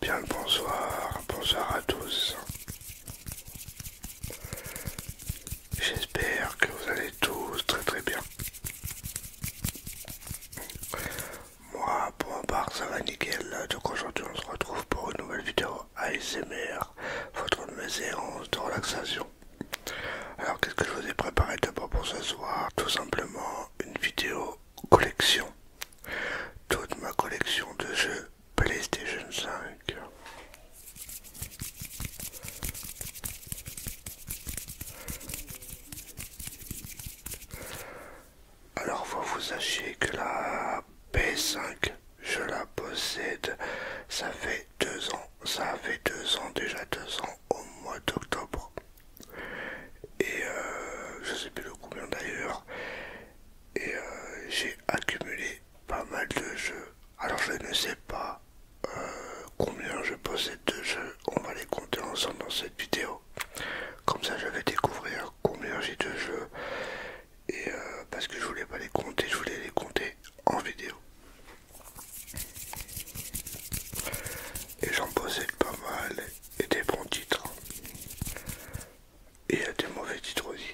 Bien le bonsoir, bonsoir à tous. J'espère que vous allez tous très très bien. Moi, pour ma part, ça va nickel. Donc aujourd'hui, on se retrouve pour une nouvelle vidéo ASMR, votre séance de relaxation. Alors, qu'est-ce que je vous ai préparé d'abord pour ce soir Tout simplement une vidéo collection. Toute ma collection de jeux PlayStation 5 alors vous sachiez que la P5, je la possède, ça fait deux ans, ça fait deux ans, déjà deux ans au mois d'octobre. Et euh, je sais plus le combien d'ailleurs. Et euh, j'ai accumulé pas mal de jeux alors je ne sais pas euh, combien je possède de jeux, on va les compter ensemble dans cette vidéo. Comme ça je vais découvrir combien j'ai de jeux, et euh, parce que je voulais pas les compter, je voulais les compter en vidéo. Et j'en possède pas mal, et des bons titres. Hein. Et des mauvais titres aussi.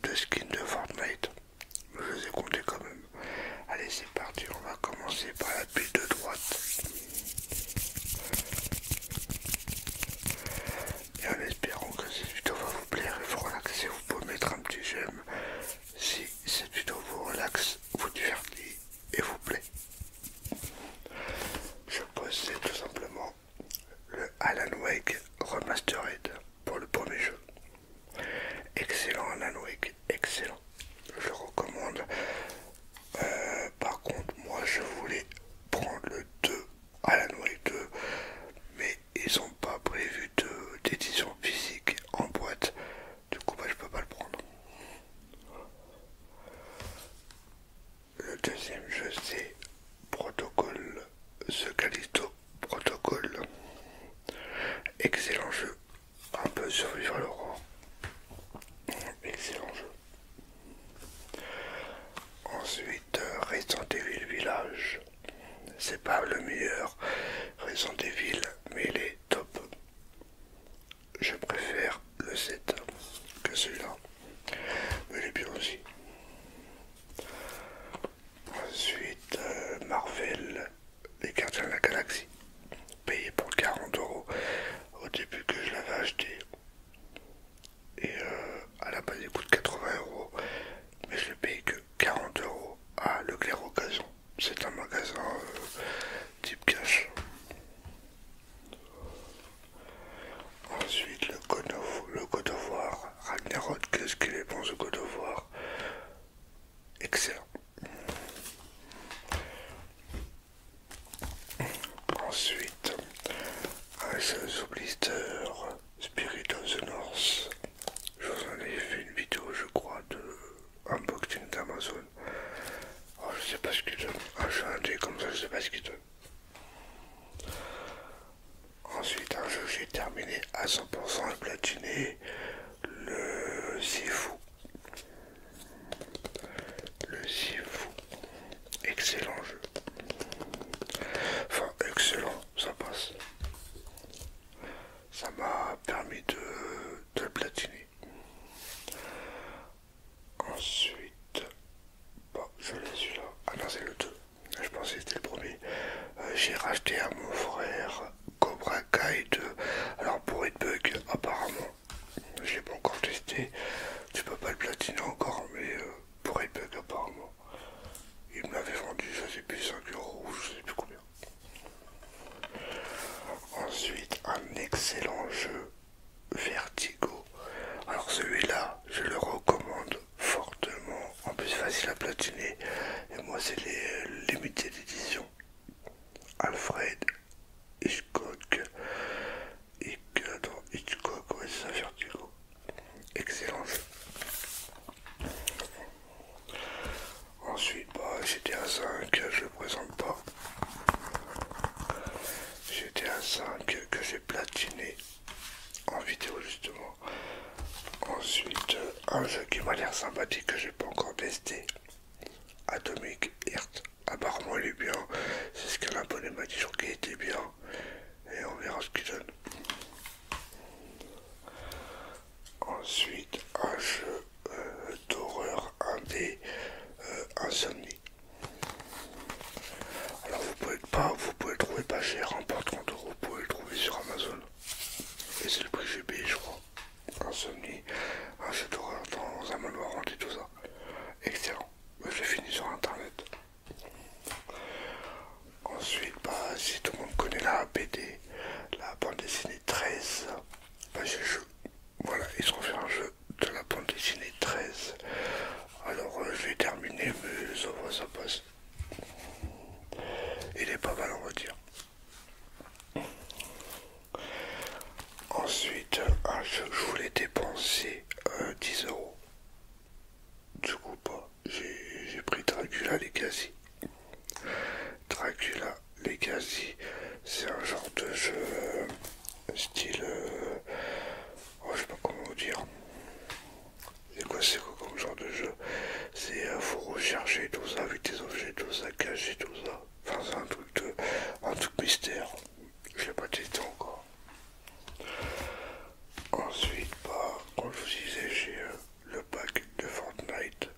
de skins de Fortnite. Je vous ai compté quand même. Allez, c'est parti. On va commencer par la pile de droite. Et en espérant que cette vidéo va vous plaire et vous relaxer, vous pouvez mettre un petit j'aime si cette vidéo vous relaxe, vous divertit et vous plaît. Je pose tout simplement le Alan Wake Remastered pour le premier jeu. Excellent Alan Wake, excellent. Je le recommande. Euh, par contre, moi je voulais prendre le 2, Alan Wake 2, mais ils n'ont pas prévu d'édition physique en boîte. Du coup, bah, je peux pas le prendre. Le deuxième jeu c'est Protocole, ce Callisto Protocole. Excellent jeu, un peu survivre le l'aurore. Excellent jeu. Ensuite, des villes Village. C'est pas le meilleur Raison des villes, mais il est top. Je préfère le 7 que celui-là. Mais il est bien aussi. Ensuite, euh, Marvel, Les Gardiens de la Galaxie, payé pour 40 euros au début que je l'avais acheté. Et euh, à la base, il coûte 80 euros, mais je l'ai payé que 40 euros à Leclerc Occasion. C'est un magasin euh, type cash. Ensuite, le, code le Codovoir. Ragnarok, qu'est-ce qu'il est bon ce Codovoir Excellent. Ensuite, un seul blister, Spirit of the North. Je vous en ai fait une vidéo, je crois, de unboxing d'Amazon. Oh, je sais pas ce qu'il donne. Ah, un comme ça, je sais pas ce qu'il donne. Ensuite, un jeu que j'ai terminé à 100% et platiné, le Sifu. Le Sifu. Excellent jeu. Enfin, excellent, ça passe. Ça m'a permis de, de le platiner. Ensuite, je l'ai celui-là. Ah non, c'est le 2. Je pensais que c'était le premier. Euh, j'ai racheté à mon frère Cobra Kai 2. Alors, pour être bug, apparemment, je l'ai pas encore testé. Tu peux pas le platiner encore, mais euh, pour bug, apparemment, il me l'avait vendu, je sais plus, 5 euros ou je sais plus combien. Ensuite, un excellent jeu Vertigo. Alors celui-là, je le recommande fortement. En plus, facile à platiner. Et moi, c'est les euh, limités d'édition. Alfred Hitchcock. Hitchcock, ouais, c'est ça, Vertigo. Excellent. Ensuite, bah, à 5, je le présente pas. J'étais à 5 que j'ai platine platiné en vidéo justement. Ensuite, un jeu qui m'a l'air sympathique que j'ai pas encore testé. Atomic Hirt Apparemment il est bien. C'est ce qu'un abonné m'a dit qu'il était bien. Et on verra ce qu'il donne. Ensuite, un jeu euh, d'horreur indé euh, insomnie. Alors vous pouvez pas, vous pouvez le trouver pas cher, hein, en 30 euros, vous pouvez le trouver sur Amazon. Et c'est le prix que j'ai payé, je crois. Insomnie, un d'horreur dans un manoir et tout ça. Excellent. Bah, j'ai fini sur internet. Ensuite, bah, si tout le monde connaît la BD, la bande dessinée 13, bah, jeu. Voilà, ils se refait un jeu de la bande dessinée 13. Alors euh, je vais terminer, mais ça va, ça passe. Il est pas mal, on va dire. Ensuite, un jeu, je voulais dépenser 10 euh, euros. Du coup, pas. Bah, j'ai pris Dracula les Legacy. Dracula Legacy, c'est un genre de jeu euh, style euh, oh, je sais pas comment vous dire c'est quoi c'est comme genre de jeu c'est vous euh, faut rechercher tout ça avec des objets tout ça cacher tout ça enfin c'est un truc de un truc mystère je l'ai pas testé encore ensuite bah comme je vous disais j'ai euh, le pack de Fortnite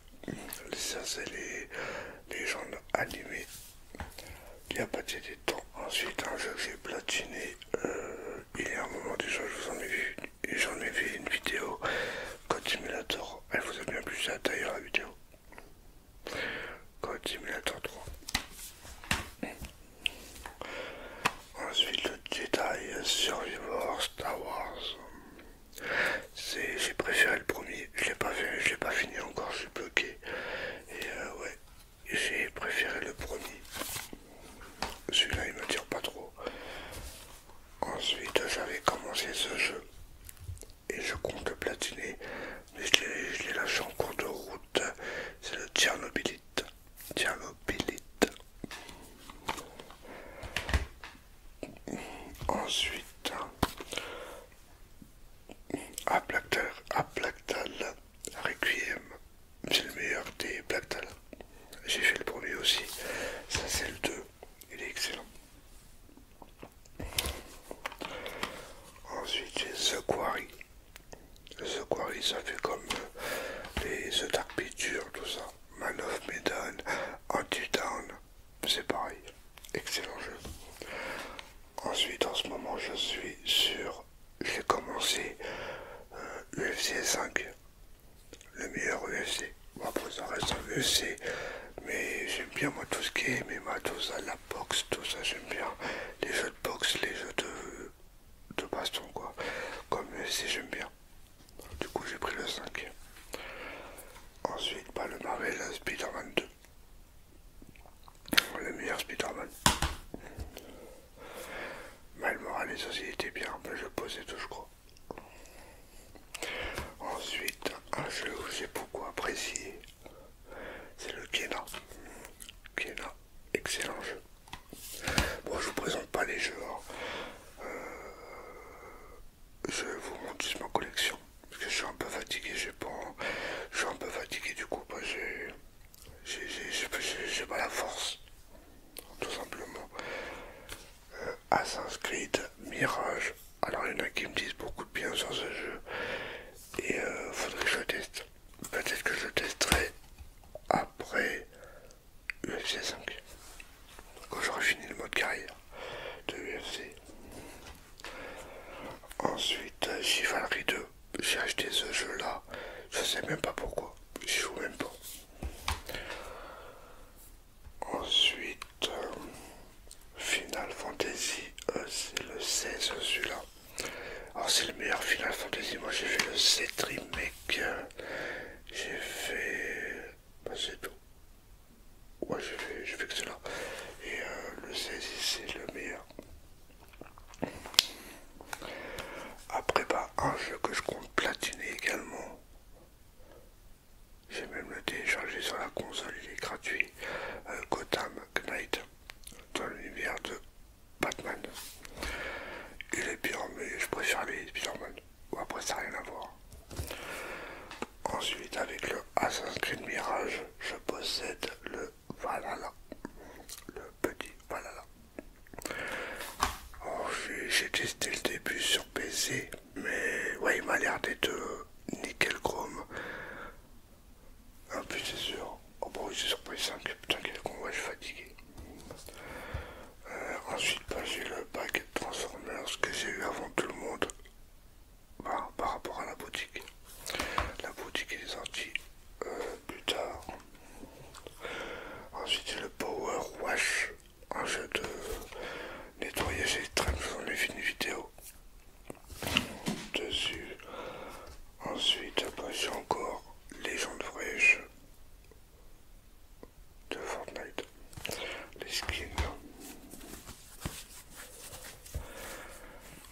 ça c'est les légendes animées il n'y a pas de temps. Ensuite, un jeu que j'ai platiné euh, il y a un moment déjà, je vous en ai vu et j'en ai fait une vidéo Code Simulator. Elle vous a bien plu, taille d'ailleurs la vidéo. Code Simulator 3. Ensuite, le Jedi Survivor Star Wars. J'ai préféré le premier je l'ai pas pas fini encore, je suis bloqué. Et euh, ouais, j'ai préféré le premier. Celui-là il me tire pas trop. Ensuite j'avais commencé ce jeu et je compte le platiner, mais je l'ai lâché en cours de route. C'est le Tchernobylite. Tchernobylite. Ensuite, Aplactal, Aplactal Requiem, c'est le meilleur des Plactal. J'ai fait le premier aussi, ça c'est le 2, il est excellent. Ensuite j'ai The Quarry. The Quarry ça fait comme euh, les The Dark Pictures, tout ça. Man of Medan, c'est pareil excellent jeu. Ensuite, en ce moment, je suis sur. J'ai commencé UFC euh, 5, le meilleur UFC. Bon, après, ça reste UFC, mais j'aime bien moi tout ce qui est moi tout ça, la boxe, tout ça, j'aime bien les jeux de boxe, les jeux de, de baston, quoi. Comme UFC, j'aime bien. Du coup, j'ai pris le 5. Ensuite, pas bah, le Marvel Spider-Man 2. Oh, le meilleur Spider-Man. Mal les aussi était bien, mais je posais tout, je crois. Ensuite, un jeu que j'ai beaucoup apprécié, c'est le Kena. Kena, excellent jeu. Bon, je vous présente pas les jeux. Hein. Euh, je vous montre juste ma collection. Parce que je suis un peu fatigué, j'ai pas. Je suis un peu fatigué du coup, bah, j'ai. pas la force. Tout simplement. Euh, Assassin's Creed, Mirage. Alors il y en a qui me disent beaucoup de bien sur ce jeu. Et il euh, faudrait que je le teste. Peut-être que je le testerai après UFC 5. Quand j'aurai fini le mode carrière de UFC. Ensuite, Chivalry 2. J'ai acheté ce jeu là. Je sais même pas pourquoi. Je joue même pas. Ensuite, euh, Final Fantasy, euh, c'est le 16 celui-là. Alors ah, c'est le meilleur Final Fantasy. Moi j'ai fait le 7 remake. J'ai fait... Bah, c'est tout. Ouais, j'ai fait, que cela. Et euh, le 16, c'est le meilleur. Après, bah, un jeu que je compte platiner également. J'ai même le téléchargé sur la console, il est gratuit. Euh, Gotham Knight, dans l'univers de Batman. Il est bien, mais je préfère les Spider-Man. après, ça n'a rien à voir. Ensuite, avec le Assassin's Creed Mirage, je possède le Valhalla. Le petit Valhalla. Oh, j'ai testé le début sur PC, mais ouais, il m'a l'air d'être euh, nickel chrome. En plus, c'est oh, bah sur PS5. Putain, quel con, je suis fatigué. Euh, ensuite, j'ai le pack Transformers que j'ai eu avant tout le monde. Bah, par rapport à la boutique. La boutique est sortie euh, plus tard. Ensuite le Power Wash, un jeu de nettoyage extrême j'en ai fait une vidéo dessus. Ensuite j'ai encore les gens de de Fortnite les skins.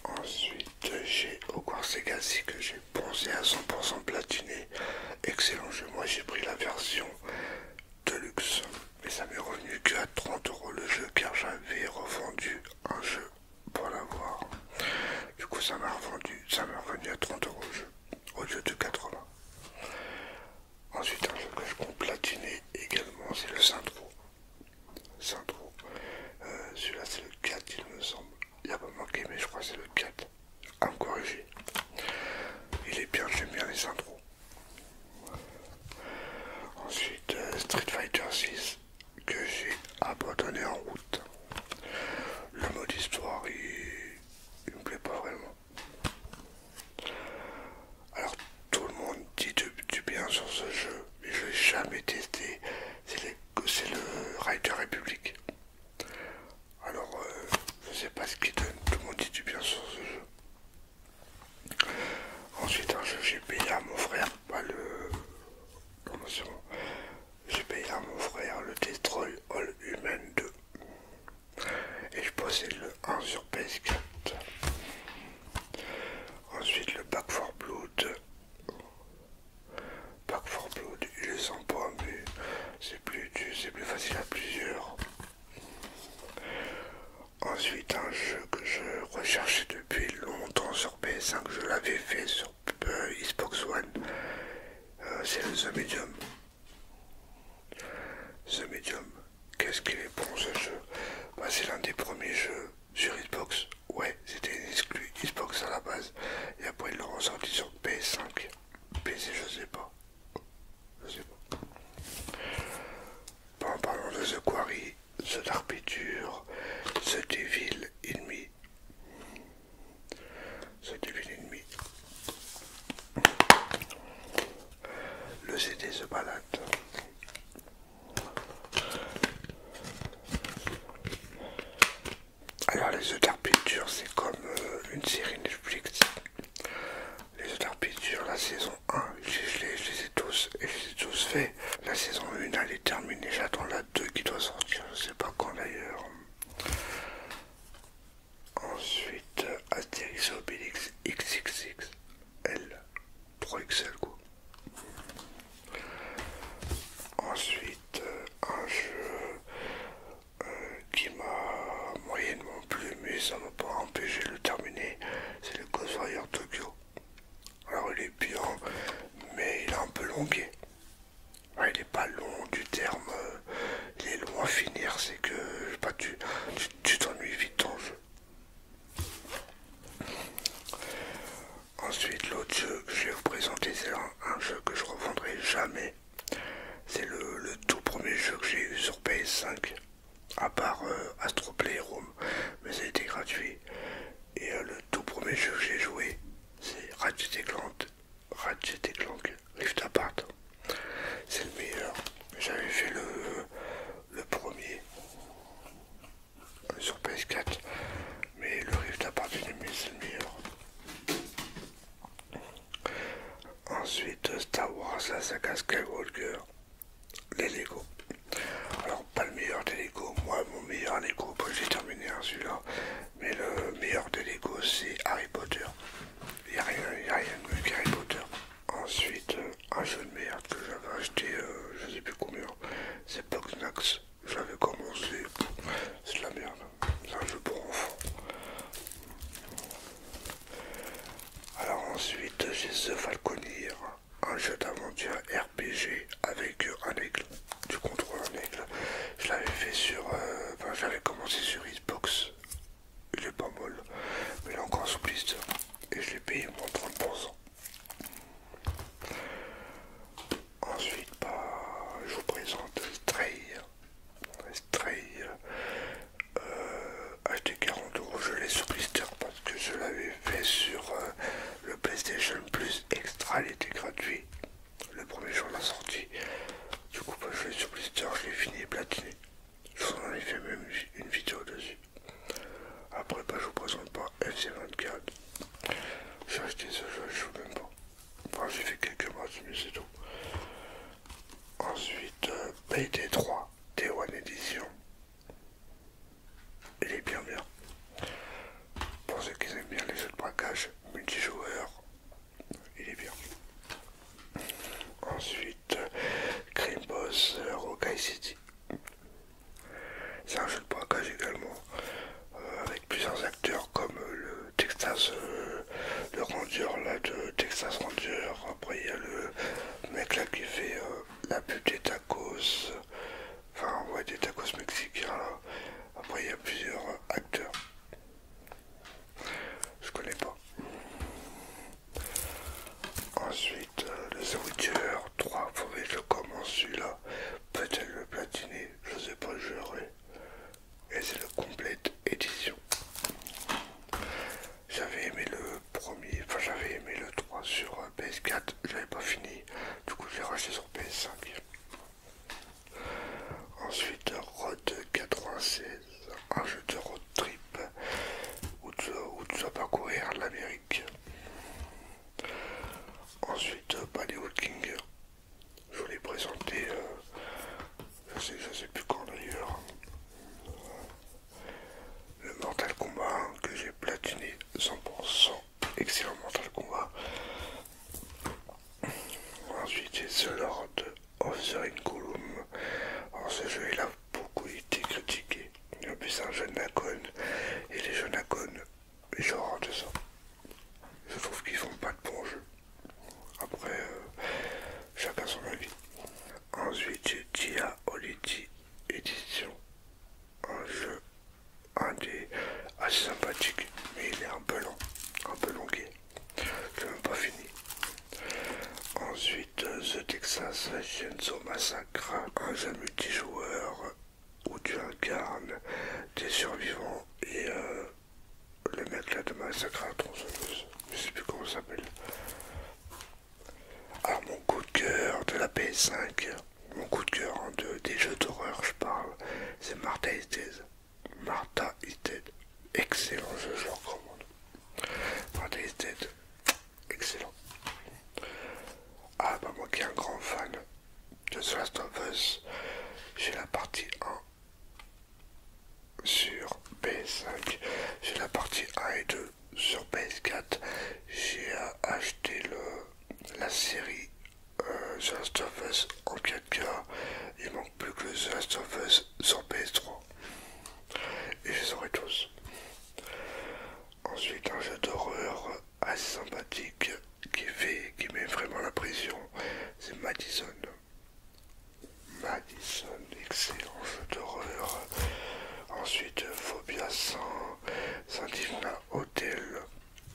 Ensuite, j'ai au quasi que j'ai poncé à 100% platiné. Excellent jeu. Moi, j'ai pris la version Deluxe. Mais ça m'est revenu que à 30 euros le jeu car j'avais revendu un jeu pour l'avoir. Du coup, ça m'a revendu, ça m'a revenu à 30 euros le jeu au lieu de 80. Ensuite, un jeu que je compte platiner également, c'est le Syntro. Euh, celui-là, c'est le 4, il me semble. Il n'y a pas manqué, mais je crois que c'est le 4. Un corrigé. Il est bien, j'aime bien les Centro. Ensuite, euh, Street Fighter 6 que j'ai abandonné en route. Le mode histoire, il, il me plaît pas vraiment. Alors tout le monde dit du, bien sur ce jeu, mais je n'ai jamais testé. C'est le Rider République. Alors euh, je ne sais pas ce qu'il donne, tout le monde dit du bien sur ce jeu. Ensuite un jeu j'ai payé à mon frère, le. J'ai payé à mon frère le Destroy All Human 2 et je possède le 1 sur PS4. Ensuite le Back 4 Blood. Back 4 Blood, il est sympa mais c'est plus, plus facile à plusieurs. Ensuite un jeu que je recherchais depuis longtemps sur PS5, je l'avais fait sur euh, Xbox One, euh, c'est le Medium. Ce Medium, qu'est-ce qu'il est bon ce jeu bah, C'est l'un des premiers jeux sur Xbox. Ouais, c'était une exclu Xbox à la base. Et après, ils l'ont ressorti sur PS5. PC, je sais pas. Je sais pas. Bon, parlons parlant de The Quarry, The Dark The Devil Enemy. The Devil Enemy. Le CD se balade. Alors les œufs d'Arpitures c'est comme euh, une série Netflix. Les œufs la saison 1, je, les, ai tous et je les ai tous faits. La saison 1 elle est terminée, j'attends la 2 qui doit sortir, je sais pas quand d'ailleurs. Ensuite, Astérix Obelix XXXL. 3XL quoi. Ensuite, euh, un jeu euh, qui m'a moyennement plu, mais ça m'a pas empêché de le terminer, c'est le Ghost Tokyo. Alors il est bien, mais il est un peu longué. il n'est pas long du terme euh, il est loin finir, c'est que tu t'ennuies vite ton jeu. Ensuite, l'autre jeu que je vais vous présenter, c'est un, jeu que je revendrai jamais. C'est le, tout premier jeu que j'ai eu sur PS5, à part euh, Astro Playroom, mais ça a été gratuit. Et euh, le tout premier jeu que j'ai joué, c'est Ratchet Clank, Ratchet Clank Rift Apart. C'est le meilleur. J'avais fait le, premier sur PS4, mais le Rift Apart c'est le meilleur. Ensuite, Star Wars, la saga Skywalker, les Lego. Alors, pas le meilleur des Lego, moi, mon meilleur Lego, j'ai terminé hein, celui-là, mais le meilleur des Lego, c'est Harry Potter. Il n'y a, a, rien de mieux Harry Potter. Ensuite, euh, un jeu de merde que j'avais acheté, je euh, je sais plus combien, c'est Je J'avais commencé, c'est de la merde. C'est un jeu pour enfants. Alors ensuite, j'ai The Falconeer, un jeu d'aventure RPG avec euh, un aigle. Tu contrôles un aigle. Je l'avais fait sur... enfin, j'avais commencé sur Xbox il est pas mal, mais il est encore sous blister et je l'ai payé moins 30%. Ensuite, bah, je vous présente Stray. Stray, euh, acheté 40 je l'ai sous blister parce que je l'avais fait sur euh, le PlayStation Plus Extra, il était gratuit le premier jour de la sortie. Du coup, bah, je vais sur Blister, je l'ai fini et platiné. Je vous en ai fait même une vidéo dessus. Après, bah, je vous présente pas FC24. J'ai acheté ce jeu, je joue même pas. Enfin, j'ai fait quelques matchs, mais c'est tout. Ensuite, BT 3 T1 Edition. Il est bien bien. Pour ceux qui aiment bien les jeux de braquage, multijoueur il est bien. Ensuite, Cream Boss euh, Rokai City. C'est un jeu de braquage également, euh, avec plusieurs acteurs comme euh, le Texas, le Ranger là de Texas Ranger. Après, il y a le mec là qui fait la pub des tacos, enfin, ouais, des tacos mexicains Après, il y a plusieurs acteurs. Je connais pas. Ensuite, euh, le The 3, faudrait que je commence celui-là. Peut-être le platiner, je sais pas, je Et c'est la complète édition. J'avais aimé le premier, enfin j'avais aimé le 3 sur euh, PS4, j'avais pas fini, du coup je l'ai racheté sur PS5. Ensuite, Road 96, un jeu de road trip où tu, vas parcourir l'Amérique. Ensuite, Bollywood King, je vous l'ai présenté, euh, je, sais, plus quand d'ailleurs. Le Mortal Kombat que j'ai platiné 100%, excellent Mortal Kombat. Ensuite, c'est The Lord of the Alors ce jeu il a beaucoup été critiqué. Il y a un jeu de et les jeux Nacon, ils genre, de ça. Je trouve qu'ils font pas de bons jeux. Après, euh, chacun son avis. Ensuite, Dia Oliti Edition. Un jeu, assez sympathique, mais il est un peu long, un peu longué. C'est même pas fini. Ensuite, euh, The Texas Chainsaw Massacre, un jeu multijoueur où tu incarnes des survivants et les euh, le là de Massacre à tronçonneuse. Je sais plus comment ça s'appelle. Alors, ah, mon coup de cœur de la PS5, mon coup de cœur en hein, deux des jeux d'horreur, je parle, c'est et Estes. Martha is Dead. Excellent jeu, je recommande. Martha is Dead. Excellent. Ah bah moi qui est un grand fan de The Last of Us, j'ai la partie 1 sur PS5, j'ai la partie 1 et 2 sur PS4, j'ai acheté le, la série euh, The Last of Us en 4K. Il manque plus que The Last of Us sur PS3. Et je les aurai tous. Ensuite, un jeu d'horreur assez sympathique qui fait, qui met vraiment la pression, c'est Madison. Madison, excellent jeu d'horreur. Ensuite, Phobia 100, Saint-Divina Hotel.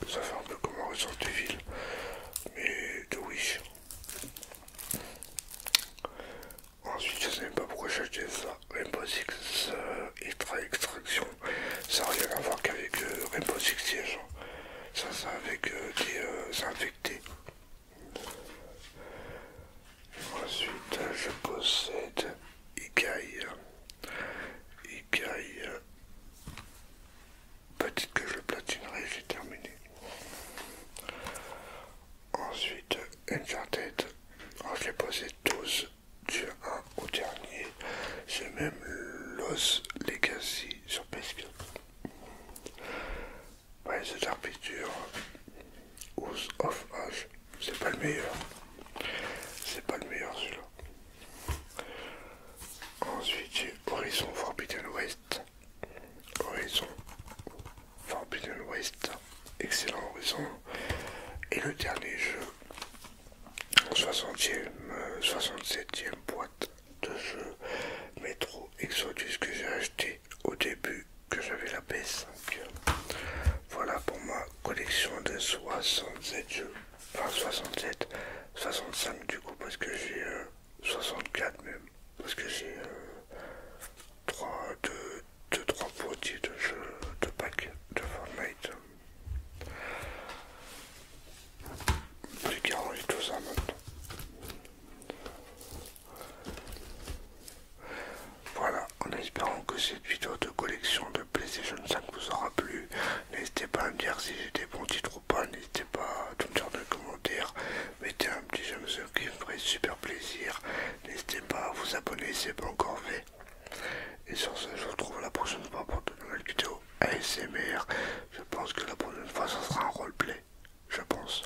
Ça fait un peu comme un ressort de ville, mais de Wish. Ensuite, je sais même pas pourquoi j'ai acheté ça. Rainbow Six euh, Extraction. Ça n'a rien à voir qu'avec euh, Rainbow Six hein. Ça, c'est avec euh, des infectés. Ensuite, je possède Ikaï. Ikaï... Peut-être que je platinerai, j'ai terminé. Ensuite, une Alors, j'ai posé tous du 1 au dernier. J'ai même Los Legacy sur ps Ouais, c'est Arbiture. House of H. C'est pas le meilleur. C'est pas le meilleur celui-là. Ensuite j'ai Horizon Forbidden West. Horizon Forbidden West. Excellent Horizon. Et le dernier jeu, 67e euh, boîte de jeux, Metro Exodus que j'ai acheté au début que j'avais la PS5. Voilà pour ma collection de 67 jeux enfin 67, 65 du coup parce que j'ai 64 euh, même, parce que j'ai 3, 2, 2, 3 de jeux de pack de Fortnite. Plus ranger tout ça maintenant. Voilà, en espérant que cette vidéo de collection de PlayStation 5 vous aura plu. N'hésitez pas à me dire si j'ai des bons titres ou pas. N'hésitez pas à tout me dire dans les commentaires. Mettez un petit j'aime ce qui me ferait super plaisir. N'hésitez pas à vous abonner si c'est pas encore fait. Et sur ce, je vous retrouve la prochaine fois pour de nouvelles vidéos ASMR. Je pense que la prochaine fois, ça sera un roleplay. Je pense.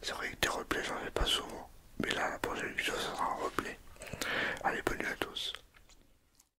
C'est vrai que des roleplays j'en fais pas souvent. Mais là, la prochaine vidéo, ça sera un roleplay, Allez, bonne nuit à tous.